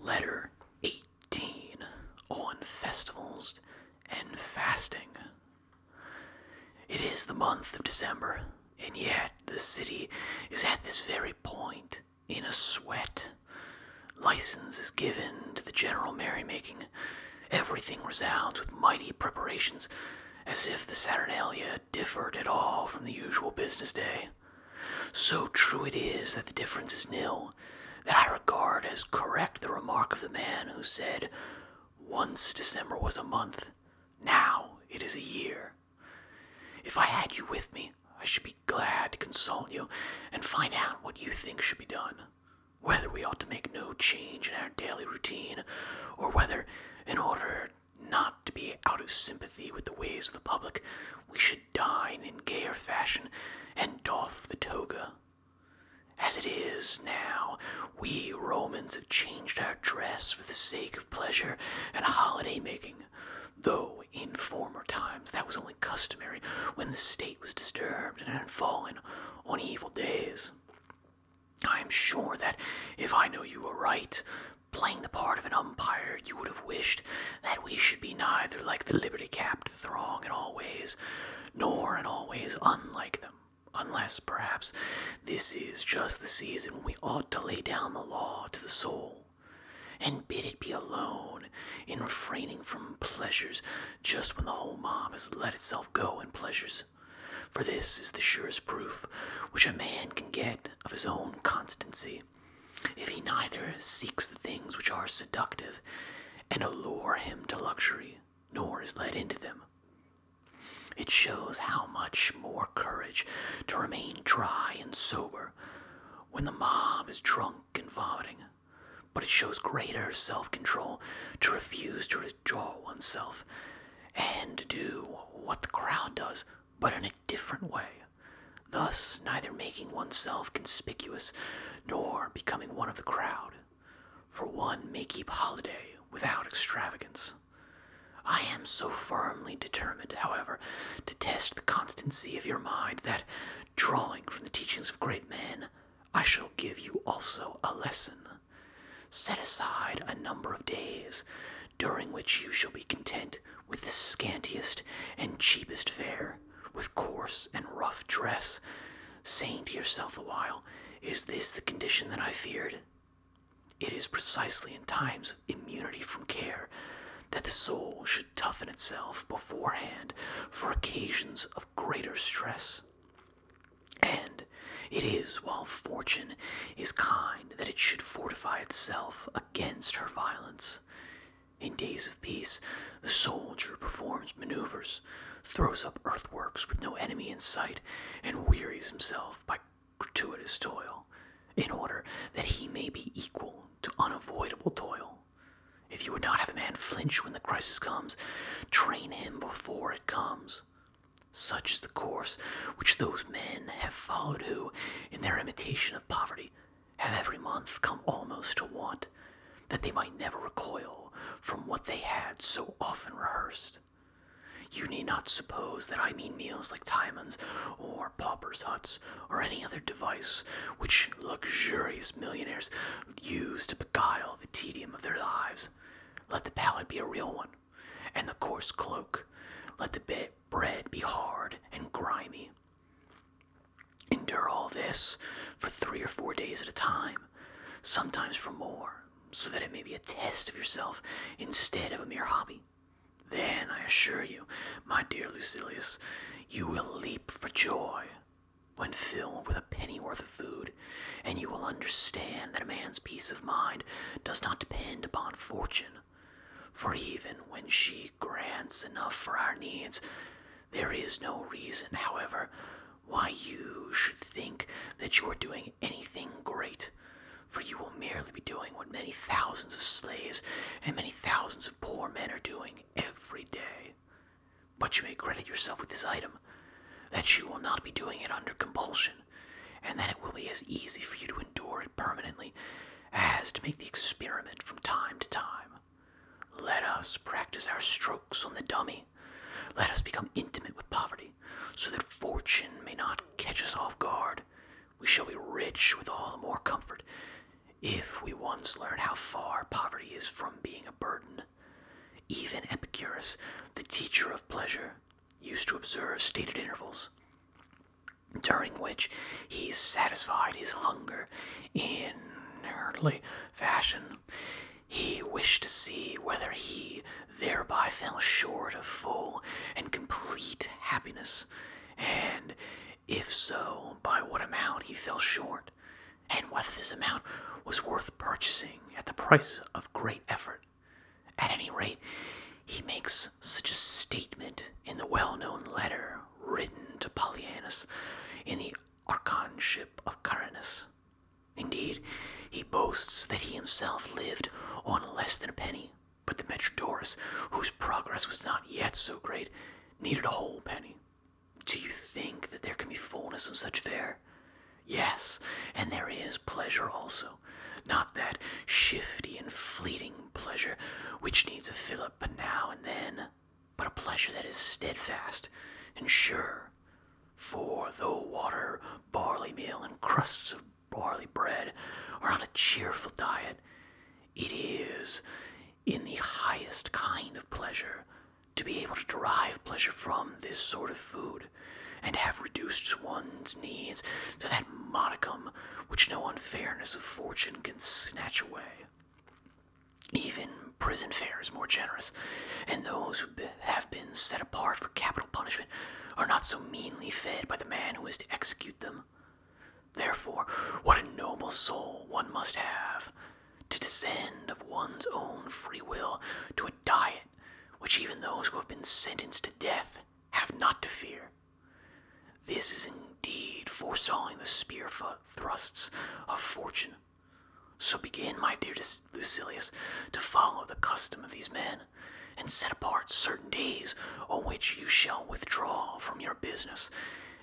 Letter 18 on festivals and fasting. It is the month of December, and yet the city is at this very point in a sweat. License is given to the general merrymaking. Everything resounds with mighty preparations, as if the Saturnalia differed at all from the usual business day. So true it is that the difference is nil, that I regard as correct the remark of the man who said, Once December was a month, now it is a year. If I had you with me, I should be glad to consult you and find out what you think should be done, whether we ought to make no change in our daily routine, or whether, in order not to be out of sympathy with the ways of the public, we should dine in gayer fashion and doff the toga. As it is now, we Romans have changed our dress for the sake of pleasure and holiday making, though in former times that was only customary when the state was disturbed and had fallen on evil days. I am sure that, if I know you are right, playing the part of an umpire, you would have wished that we should be neither like the liberty capped throng in all ways, nor in all ways unlike them. Unless, perhaps, this is just the season when we ought to lay down the law to the soul, and bid it be alone in refraining from pleasures just when the whole mob has let itself go in pleasures. For this is the surest proof which a man can get of his own constancy, if he neither seeks the things which are seductive and allure him to luxury, nor is led into them. It shows how much more courage to remain dry and sober when the mob is drunk and vomiting, but it shows greater self control to refuse to draw oneself and do what the crowd does, but in a different way, thus neither making oneself conspicuous nor becoming one of the crowd. For one may keep holiday without extravagance. I am so firmly determined, however, to test the constancy of your mind that, drawing from the teachings of great men, I shall give you also a lesson. Set aside a number of days during which you shall be content with the scantiest and cheapest fare, with coarse and rough dress, saying to yourself a while, Is this the condition that I feared? It is precisely in times immunity from care that the soul should toughen itself beforehand for occasions of greater stress. And it is while fortune is kind that it should fortify itself against her violence. In days of peace, the soldier performs maneuvers, throws up earthworks with no enemy in sight, and wearies himself by gratuitous toil, in order that he may be equal to unavoidable toil. If you would not have a man flinch when the crisis comes, train him before it comes. Such is the course which those men have followed who, in their imitation of poverty, have every month come almost to want, that they might never recoil from what they had so often rehearsed. You need not suppose that I mean meals like Timon's or paupers' huts or any other device which luxurious millionaires use to beguile the tedium of their lives let the palate be a real one, and the coarse cloak. Let the bit bread be hard and grimy. Endure all this for three or four days at a time, sometimes for more, so that it may be a test of yourself instead of a mere hobby. Then, I assure you, my dear Lucilius, you will leap for joy when filled with a pennyworth of food, and you will understand that a man's peace of mind does not depend upon fortune. For even when she grants enough for our needs, there is no reason, however, why you should think that you are doing anything great, for you will merely be doing what many thousands of slaves and many thousands of poor men are doing every day. But you may credit yourself with this item, that you will not be doing it under compulsion, and that it will be as easy for you to endure it permanently as to make the experiment from time to time. Let us practice our strokes on the dummy. Let us become intimate with poverty, so that fortune may not catch us off guard. We shall be rich with all the more comfort if we once learn how far poverty is from being a burden, even Epicurus, the teacher of pleasure, used to observe stated intervals during which he satisfied his hunger in earthly fashion. He wished to see whether he thereby fell short of full and complete happiness, and if so, by what amount he fell short, and whether this amount was worth purchasing at the price of great effort. At any rate, he makes such a statement in the well known letter written to Polyanus in the archonship of Caranus. Indeed, he boasts that he himself lived on less than a penny, but the Metrodorus, whose progress was not yet so great, needed a whole penny. Do you think that there can be fullness in such fare? Yes, and there is pleasure also, not that shifty and fleeting pleasure which needs a fillip now and then, but a pleasure that is steadfast and sure. For though water, barley meal, and crusts of barley bread are not a cheerful diet, it is, in the highest kind of pleasure, to be able to derive pleasure from this sort of food and have reduced one's needs to that modicum which no unfairness of fortune can snatch away. Even prison fare is more generous, and those who have been set apart for capital punishment are not so meanly fed by the man who is to execute them. Therefore, what a noble soul one must have to descend of one's own free will to a diet which even those who have been sentenced to death have not to fear. This is indeed foresawing the spear thrusts of fortune. So begin, my dear Lucilius, to follow the custom of these men, and set apart certain days on which you shall withdraw from your business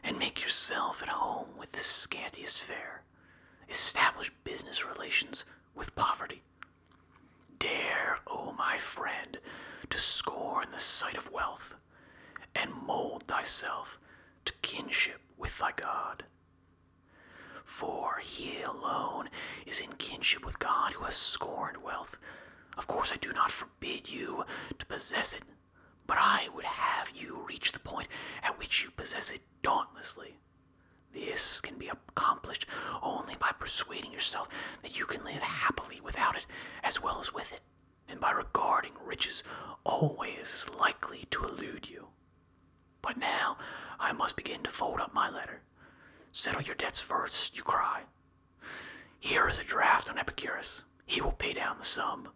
and make yourself at home with the scantiest fare. Establish business relations with poverty. Dare, O oh my friend, to scorn the sight of wealth, and mold thyself to kinship with thy God. For he alone is in kinship with God who has scorned wealth of course, I do not forbid you to possess it, but I would have you reach the point at which you possess it dauntlessly. This can be accomplished only by persuading yourself that you can live happily without it as well as with it, and by regarding riches always as likely to elude you. But now I must begin to fold up my letter. Settle your debts first, you cry. Here is a draft on Epicurus. He will pay down the sum.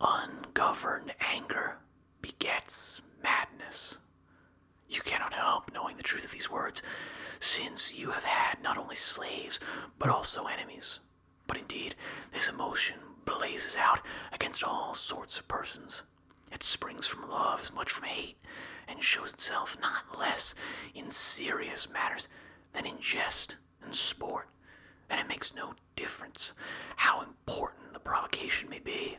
Ungoverned anger begets madness. You cannot help knowing the truth of these words, since you have had not only slaves, but also enemies. But indeed, this emotion blazes out against all sorts of persons. It springs from love as much from hate, and shows itself not less in serious matters than in jest and sport, and it makes no difference how important the provocation may be,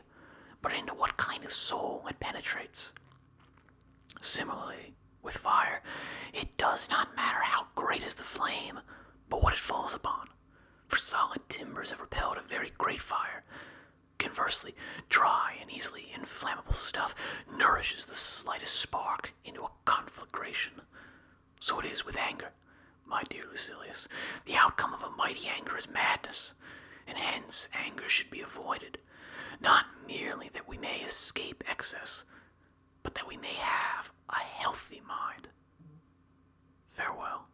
but into what kind of soul it penetrates. Similarly, with fire, it does not matter how great is the flame, but what it falls upon. For solid timbers have repelled a very great fire, Conversely, dry and easily inflammable stuff nourishes the slightest spark into a conflagration. So it is with anger, my dear Lucilius. The outcome of a mighty anger is madness, and hence anger should be avoided, not merely that we may escape excess, but that we may have a healthy mind. Farewell.